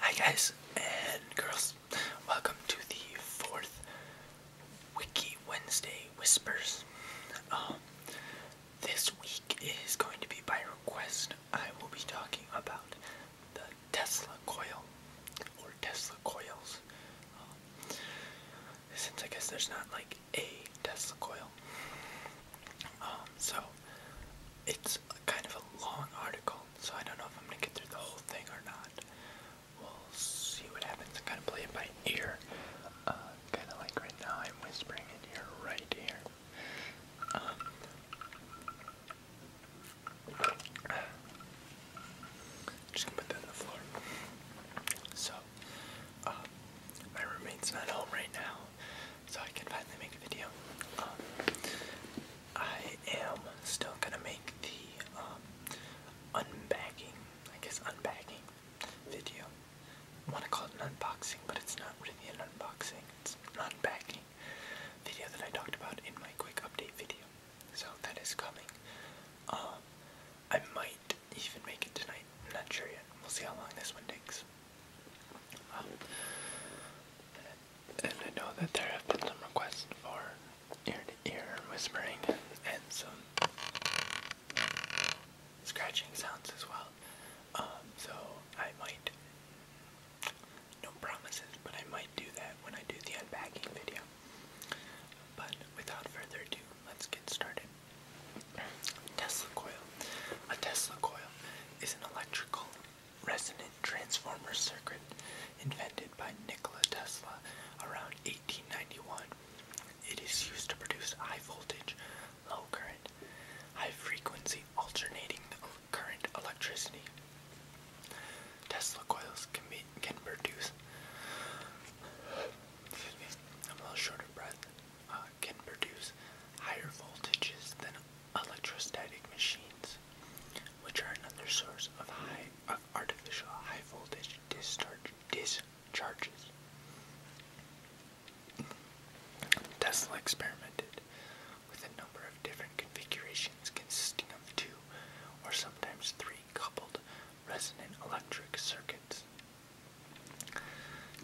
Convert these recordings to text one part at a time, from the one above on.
Hi guys and girls, welcome to the fourth Wiki Wednesday Whispers. Um, this week is going to be by request. I will be talking about the Tesla coil or Tesla coils. Um, since I guess there's not like a Tesla coil. Um, so it's kind of a long article, so I don't know if I'm gonna get through the whole thing or not. We'll see what happens. I kind of play by ear, uh, kind of like right now. I'm whispering in your right ear. Um, just gonna put that on the floor. So, uh, my roommate's not home right now so I can finally make a video. Um, I am still gonna make the um, unbagging, I guess unbagging video. want to call it an unboxing, but it's not really an unboxing. It's an video that I talked about in my quick update video. So that is coming. Um, I might even make it tonight. I'm not sure yet. We'll see how long this one takes. Um, and I know that there have been some requests for ear to ear whispering and, some scratching sounds as well. Um, so I might, no promises, but I might do that when I do the unboxing video. But without further ado, let's get started. Tesla coil. A Tesla coil is an electrical resonant transformer circuit invented by Nikola Tesla around 1891. It is used to produce high voltage, low current, high frequency alternating current electricity. Tesla coils can, be, can produce, excuse me, I'm a little short breath, uh, can produce higher voltages than electrostatic machines, which are another source of high artificial high voltage discharge discharges. Tesla experimented with a number of different configurations consisting of two or sometimes three coupled resonant electric circuits.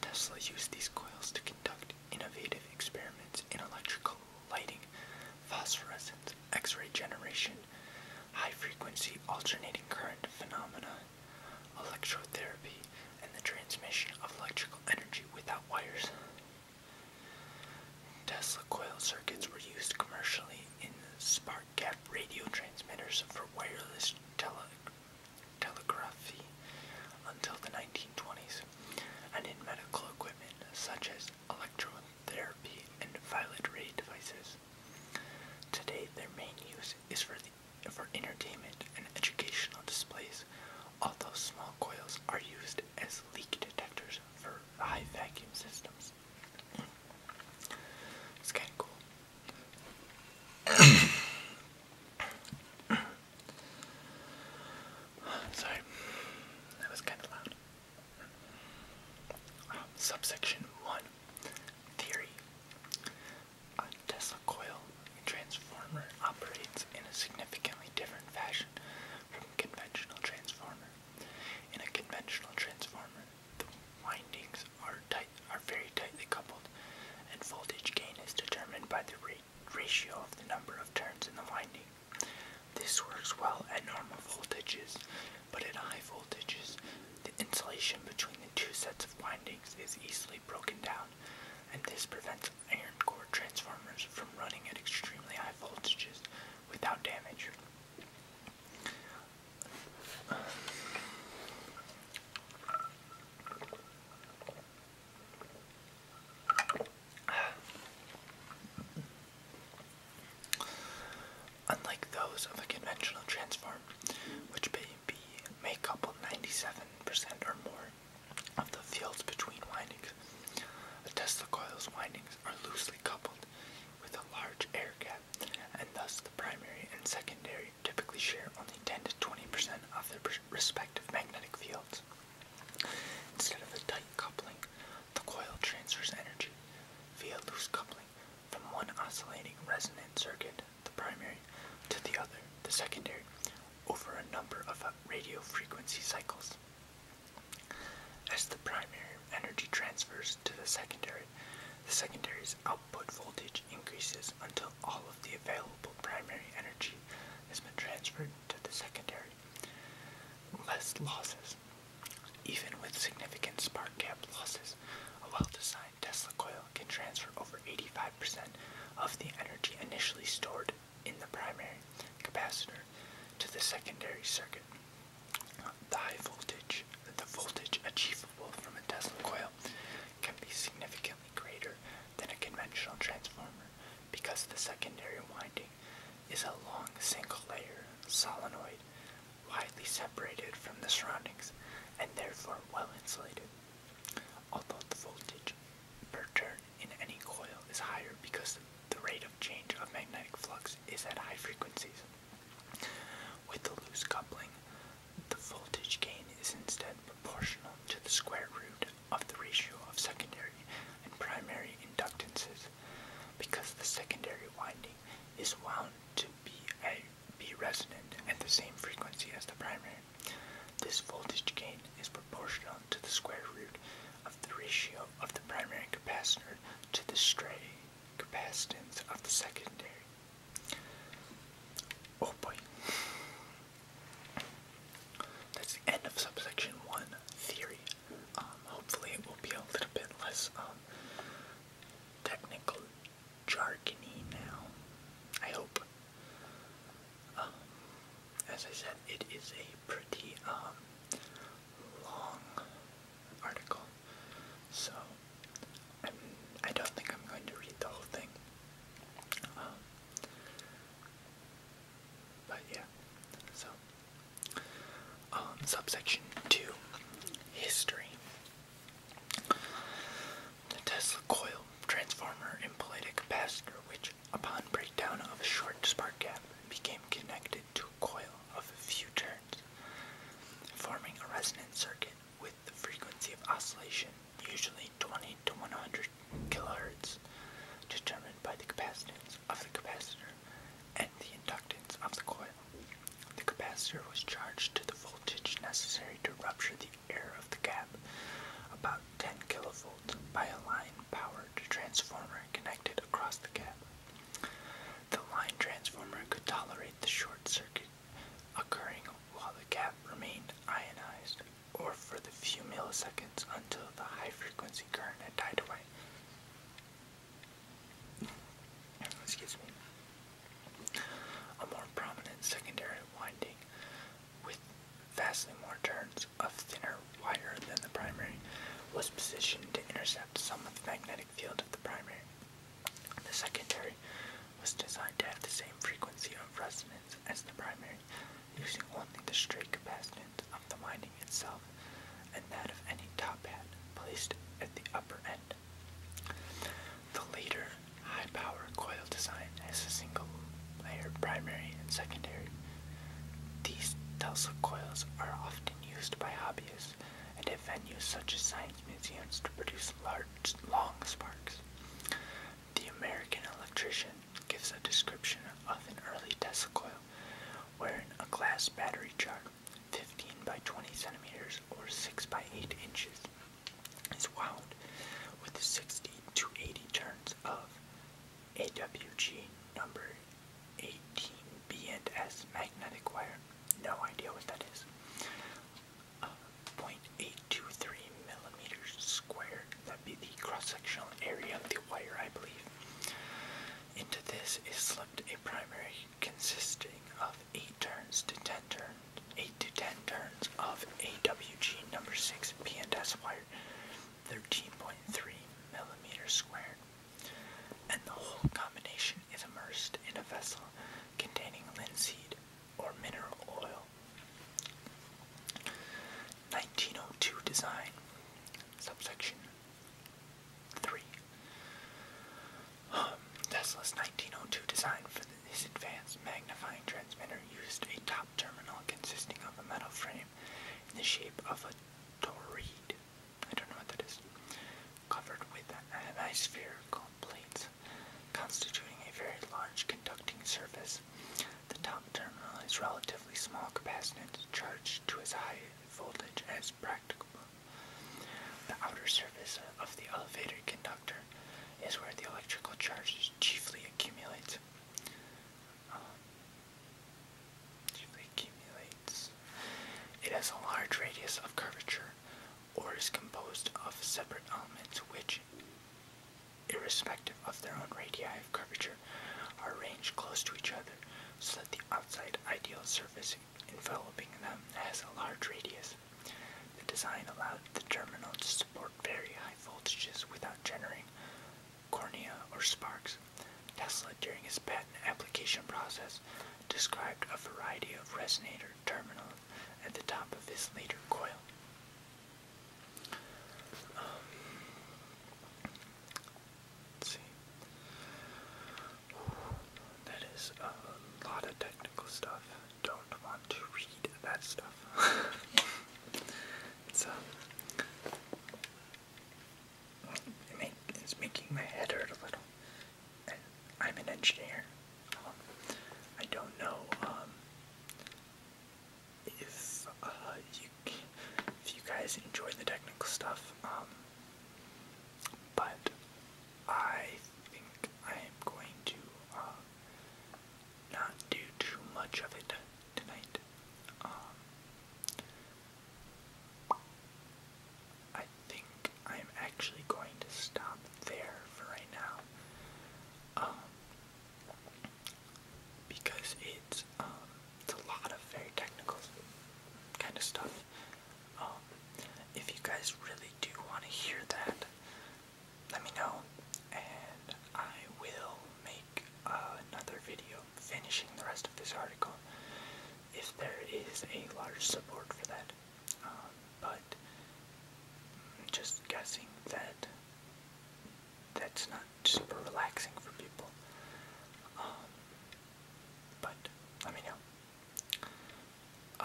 Tesla used these coils to conduct innovative experiments in electrical lighting, phosphorescence, X ray generation, high frequency alternating current phenomena, electrotherapy, and the transmission of electrical energy without wires. Tesla coil circuits were used commercially in spark gap radio transmitters for wireless telegraphy until the 1920s and in medical equipment such as electrotherapy and violet ray devices. Today, their main use is for, for entertainment and educational displays, although small coils are used as leak detectors for high vacuum systems. It's kind of cool. Sorry, that was kind of loud. Um, subsection 1 Theory A Tesla coil transformer operates in a significantly different fashion from a conventional transformer. In a conventional transformer, the windings are tight, are very tightly coupled, and voltage gain is determined by the rate ratio of the number of turns in the winding. This works well at normal voltages, but at high voltages, the insulation between the two sets of windings is easily broken down, and this prevents iron core transformers from running at extremely high voltages without damage. Unlike those of a conventional transform, which may, be, may couple 97% or more of the fields between windings, the Tesla coil's windings are loosely coupled with a large air gap, and thus the primary and secondary typically share only 10 to 20% of their respective magnetic fields. Instead of a tight coupling, the coil transfers energy via loose coupling from one oscillating resonant circuit, the primary, to the other, the secondary, over a number of uh, radio frequency cycles. As the primary energy transfers to the secondary, the secondary's output voltage increases until all of the available primary energy has been transferred to the secondary. Less losses. Even with significant spark gap losses, a well-designed Tesla coil can transfer over 85% of the energy initially stored in the primary capacitor to the secondary circuit. The high voltage, the voltage achievable from a Tesla coil can be significantly greater than a conventional transformer because the secondary winding is a long single layer solenoid widely separated from the surroundings and therefore well insulated. Although the voltage per turn in any coil is higher because the rate of change of magnetic flux is at high frequencies. With the loose coupling, the voltage gain is instead proportional to the square root of the ratio of secondary and primary inductances because the secondary winding is wound to be, a, be resonant at the same frequency as the primary. This voltage gain is proportional to the square root of the ratio of the primary capacitor to the stray capacitance of the secondary. Oh boy. That's the end of subsection one theory. Um, hopefully, it will be a little bit less um, technical, jargony now. I hope. Um, as I said, it is a pretty long article, so I'm, I do not think I'm going to read the whole thing. But yeah, so um, subsection two, history. The Tesla coil transformer employed a capacitor which, upon breakdown of a short spark gap, became connected to a coil of a few turns, forming a resonant circuit with the frequency of oscillation usually 20 to 100 kilohertz, determined by the capacitance of the capacitor and the inductance of the coil. The capacitor was charged to the voltage necessary to rupture the air of the gap, about 10 kilovolts, by a line-powered transformer connected across the gap. The line transformer could tolerate the short circuit occurring while the gap remained ionized or for the few milliseconds until the high frequency current had died away. Excuse me. A more prominent secondary winding with vastly more turns of thinner wire than the primary was positioned to intercept some of the magnetic field of the primary. The secondary was designed to have the same frequency of resonance as the primary, using only the straight capacitance of the winding itself and that of any top hat placed at the upper end. The later high-power coil design has a single layer primary and secondary. These Tesla coils are often used by hobbyists and at venues such as science museums to produce large, long sparks. The American electrician gives a description of an early Tesla coil wherein a glass battery jar, 15 by 20 centimeters or 6 by 8 inches, is wound with 60 to 80 turns of AWG number 18B and S magnetic wire. No idea what that is. 0.823 millimeters That'd be the cross-sectional area of the wire, I believe. Into this is slipped a primary consisting of 8 turns to 10 turns, 8 to 10 turns of AWG number 6 P&S wire, 13.3 millimeters squared. And the whole combination is immersed in a vessel containing linseed or mineral oil 1902 design, subsection 3. Um, Tesla's 1902 design for the, his advanced magnifying transmitter used a top terminal consisting of a metal frame in the shape of a toroid, I don't know what that is, covered with hemispherical plates constituting a very large conducting surface. The top terminal is relatively small capacitance charged to as high voltage as practical. The outer surface of the elevator conductor is where the electrical charges chiefly accumulate. Um, chiefly accumulates. It has a large radius of curvature, or is composed of separate elements which, irrespective of their own radii of curvature, are arranged close to each other so that the outside ideal surface enveloping them has a large radius. The design allowed the terminals to support very high voltages without generating cornea or sparks. Tesla, during his patent application process, described a variety of resonators terminal at the top of his leader coil. Um, see. that is a lot of technical stuff. Don't want to read that stuff. it's, um, it's making my head hurt a little. I'm an engineer. I don't know um, if uh, you if you guys enjoy the technical stuff, um, but I think I am going to uh, not do too much of it tonight. Um, I think I'm actually going to stop there for right now. Um, because it's um, it's a lot of very technical kind of stuff. Um, if you guys really do want to hear that, let me know, and I will make another video finishing the rest of this article if there is a large support for that. but but just guessing that that's not super relaxing for people. Um, but let me know. Uh,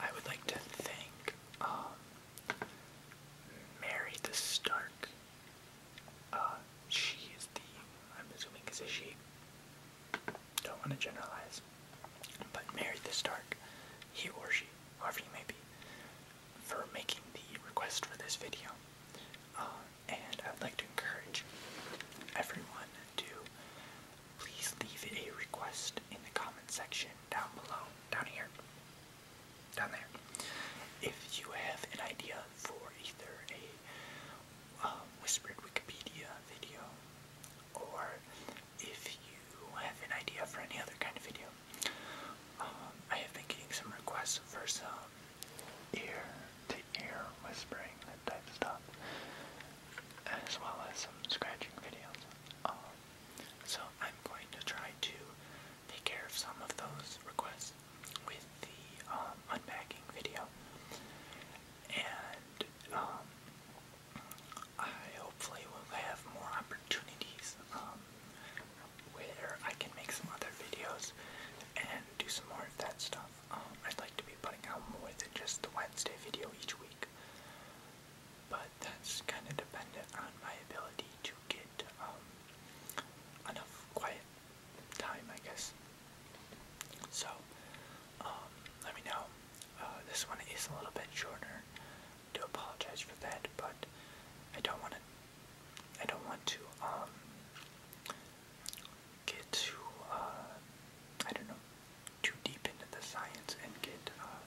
I would like to thank um, Mary the Stark. Uh, she is the, I'm assuming is she. Don't want to generalize but married the Stark, he or she, however you may be, for making the request for this video. Uh, and I'd like to encourage everyone to please leave a request in the comment section down below, down here, down there. If you have an idea for either a uh, whispered Wikipedia video or if you have an idea for any other kind of video. Um, I have been getting some requests for some ear to ear whispering, type stuff, as well as some scratching videos. Um, so I'm going to try to take care of some of those requests with the um, unpacking video. Um, I hopefully will have more opportunities um, where I can make some other videos and do some more of that stuff. Um, I'd like to be putting out more than just the Wednesday video each week, but that's kind of dependent on my ability to get um, enough quiet time, I guess. So, let me know. Uh, this one is a little bit shorter. I do apologize for that, but I don't want to. I don't want to um, get too uh, I don't know too deep into the science and get uh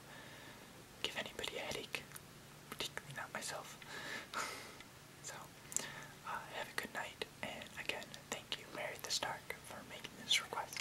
anybody a headache, particularly not myself. so uh, have a good night, and again thank you, Mary the Stark, for making this request.